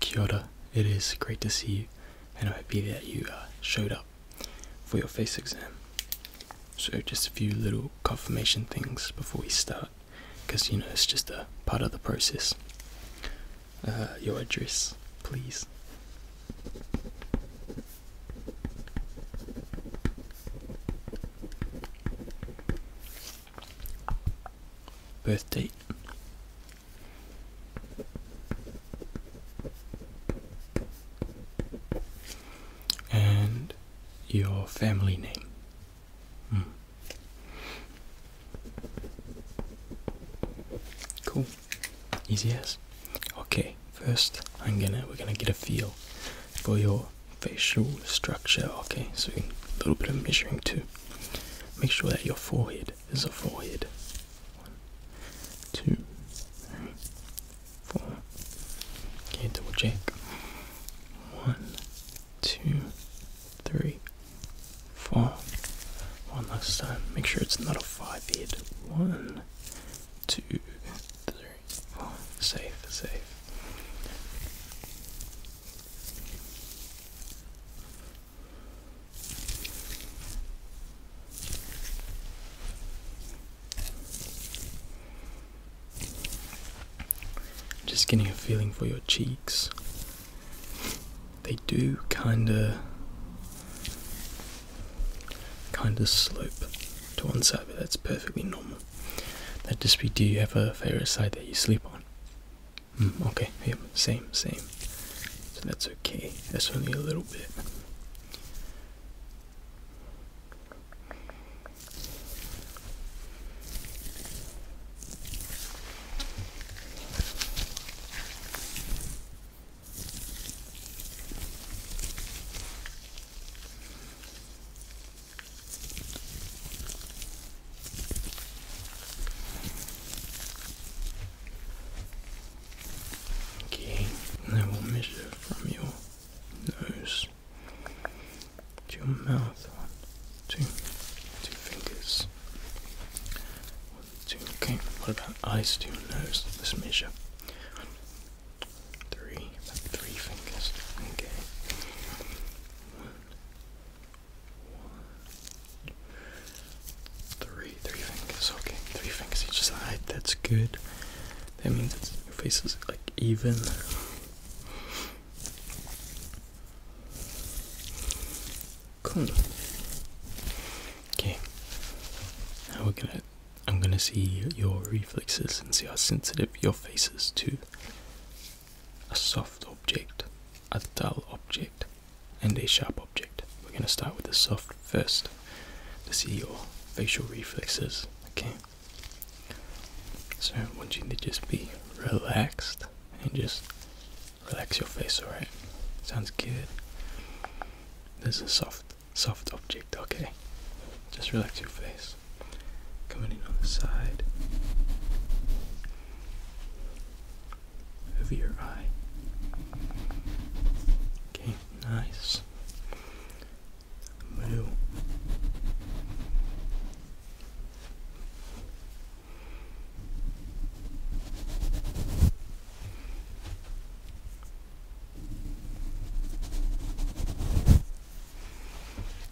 Kyota, It is great to see you, and I'm happy that you uh, showed up for your face exam. So, just a few little confirmation things before we start, because you know it's just a part of the process. Uh, your address, please. Birth date, and your family name. Hmm. Cool, easy as. Okay, first I'm gonna we're gonna get a feel for your facial structure. Okay, so a little bit of measuring too. Make sure that your forehead is a forehead. One, two, three, four. Okay, double check. One, two, three, four. One last time. Make sure it's not a five head. One, two, three, four. Safe, safe. Just getting a feeling for your cheeks. They do kinda kinda slope to one side, but that's perfectly normal. That just be do you have a favorite side that you sleep on? Mm, okay, yep, same, same. So that's okay. That's only a little bit. Okay, Then we'll measure from your nose to your mouth. One, two, two fingers. One, two, okay. What about eyes to your nose? Let's measure. Three, about three fingers. Okay one, three, three fingers. Okay, three fingers each side. That's good. That means your face is like even. Cool. Okay. Now we're gonna. I'm gonna see your reflexes and see how sensitive your face is to a soft object, a dull object, and a sharp object. We're going to start with the soft first to see your facial reflexes. Okay, so I want you to just be relaxed and just relax your face. All right, sounds good. There's a soft, soft object. Okay, just relax your face coming on the side of your eye. Okay, nice. Blue.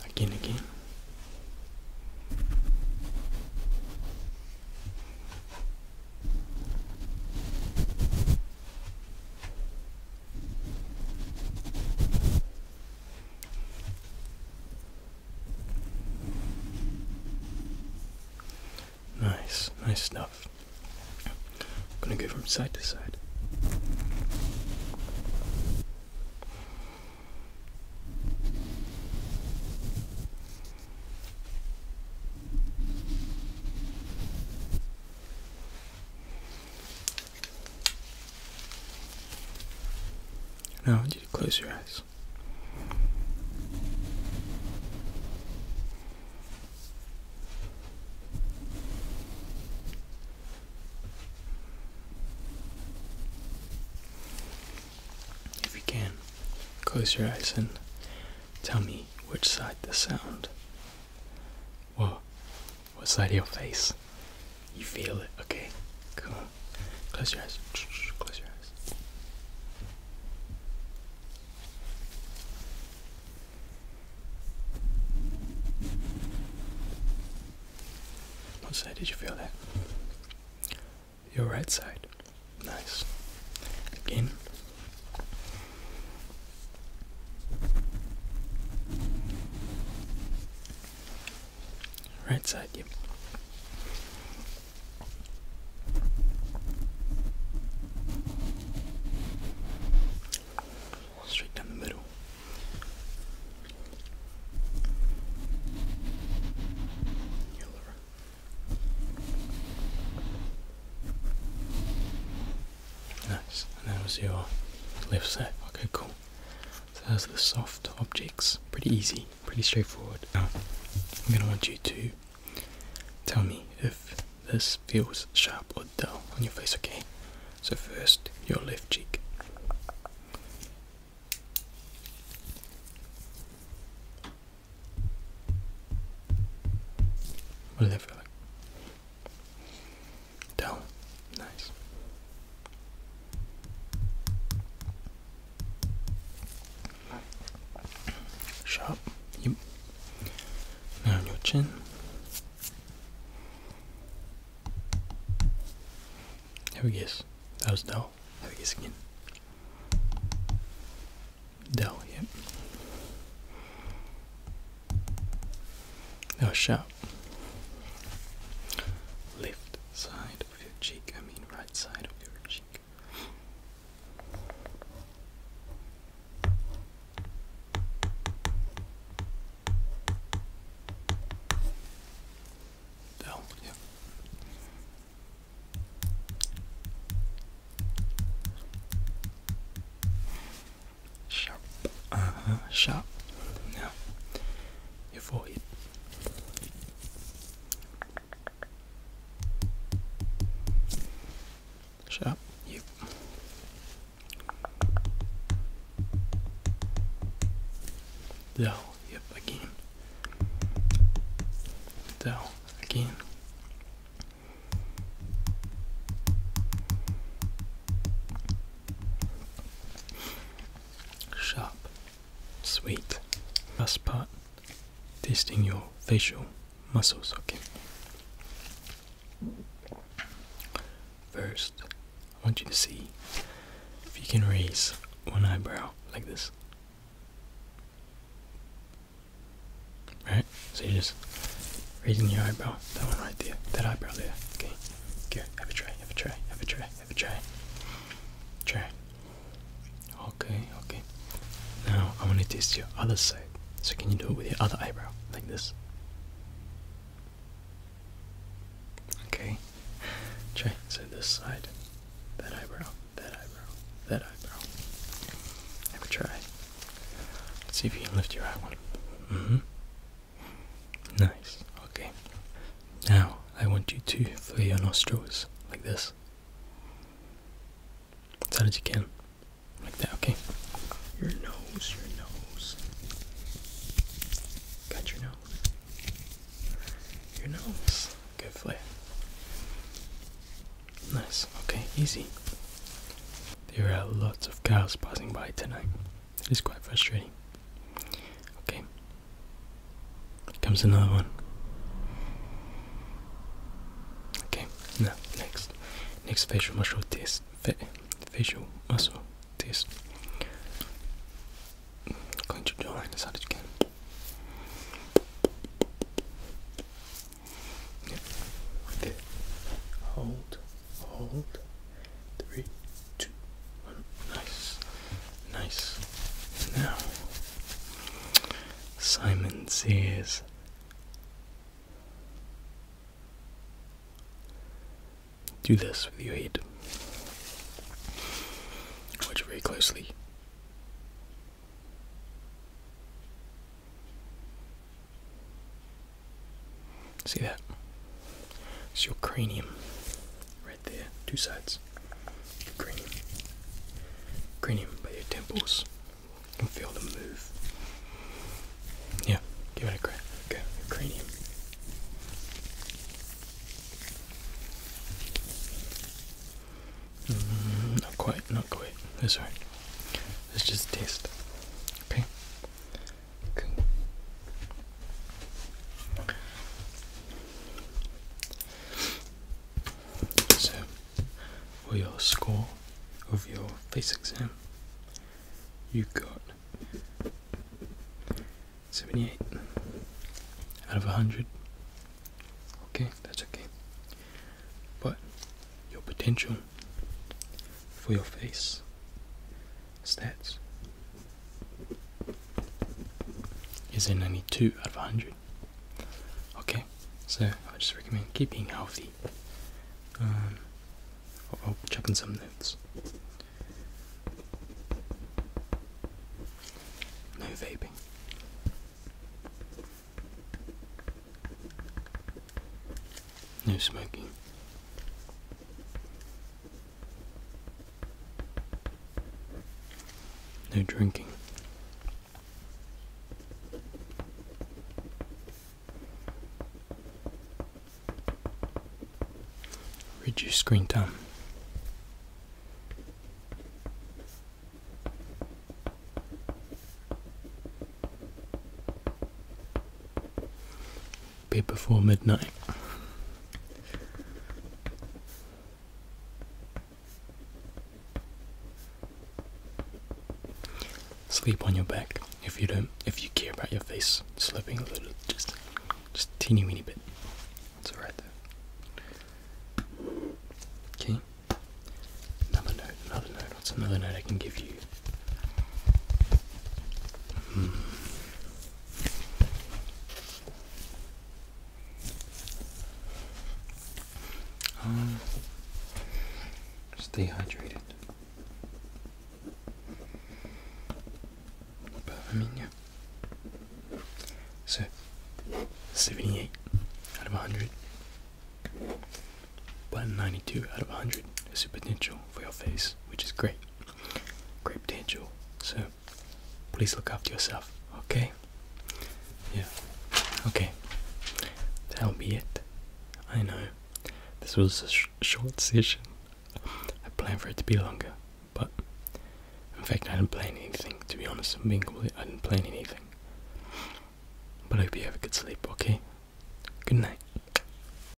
Again, again. Nice, nice stuff. I'm going to go from side to side. Now I want you to close your eyes. If you can, close your eyes and tell me which side the sound. Whoa, what side of your face? You feel it, okay? Cool. Close your eyes. Close your eyes. What side did you feel that? Your right side. Nice. Again. Right side, yep straight down the middle. Your Nice, that was your lift side. Okay, cool. So those are the soft objects. Pretty easy, pretty straightforward. I'm going to want you to Tell me if this feels sharp or dull on your face, okay? So, first, your left cheek. What does that feel like? Dull. Nice. Sharp. Yep. Now your chin. Have a guess. That was Dell. Have a guess again. Dell, yep. Now sharp. Left side of your cheek, I mean right side of your cheek back. Oh, yeah. Sharp. Uh-huh. Sharp. Now, your forehead. Shut up. You. Yep. Again. Down. Again. Sharp. Sweet. Bus part. Testing your facial muscles, okay? First, I want you to see if you can raise one eyebrow like this. Right? So you're just raising your eyebrow, that one right there, that eyebrow there, okay? Here, have a try, have a try, have a try, have a try. Try. Okay, okay. Now I want to test your other side. So can you do it with your other eyebrow, like this? Okay. Try so this side, that eyebrow, that eyebrow, that eyebrow. Have a try. Let's see if you can lift your eye one. Mm-hmm. Nice. Okay. Now I want you to flare your nostrils like this as hard as you can, like that. Okay. Your nose, your nose. Got your nose. Your nose. Good flare. Nice. Okay. Easy. There are lots of cars passing by tonight. It is quite frustrating. Okay, Comes another one. Okay, now next, next facial muscle test. Fa facial muscle test. Going to draw as hard as you can. Yeah. Hold, hold. Three, two, one. Nice, nice. Now Simon Sears. Do this with your head. Watch very closely. See that? It's your cranium there, two sides. cranium. Cranium by your temples. You can feel them move. Yeah, give it a crack. cranium. Mm, not quite, not quite. That's oh, alright. Let's just taste. Okay. Good. So, for your score of your face exam, you got 78 out of 100. Okay, that's okay. But your potential for your face stats is in only 2 out of 100. Okay, so I just recommend keeping healthy. Um, I'll, i in some notes. No vaping. No smoking. No drinking. Reduce screen time be before midnight. Sleep on your back if you don't if you care about your face sleeping a little just just teeny weeny bit. It's alright though. Okay. Another note, another note, what's another note I can give you? Hmm. Just um, stay hydrated. So, 78 out of 100. But 92 out of 100 is the potential for your face, which is great great potential. So please look after yourself. Okay. Yeah. Okay. That'll be it. I know. This was a short session. I planned for it to be longer, but in fact, I didn't plan anything. To be honest, I'm being complete. I didn't plan anything. But I hope you have a good sleep. Okay. Good night.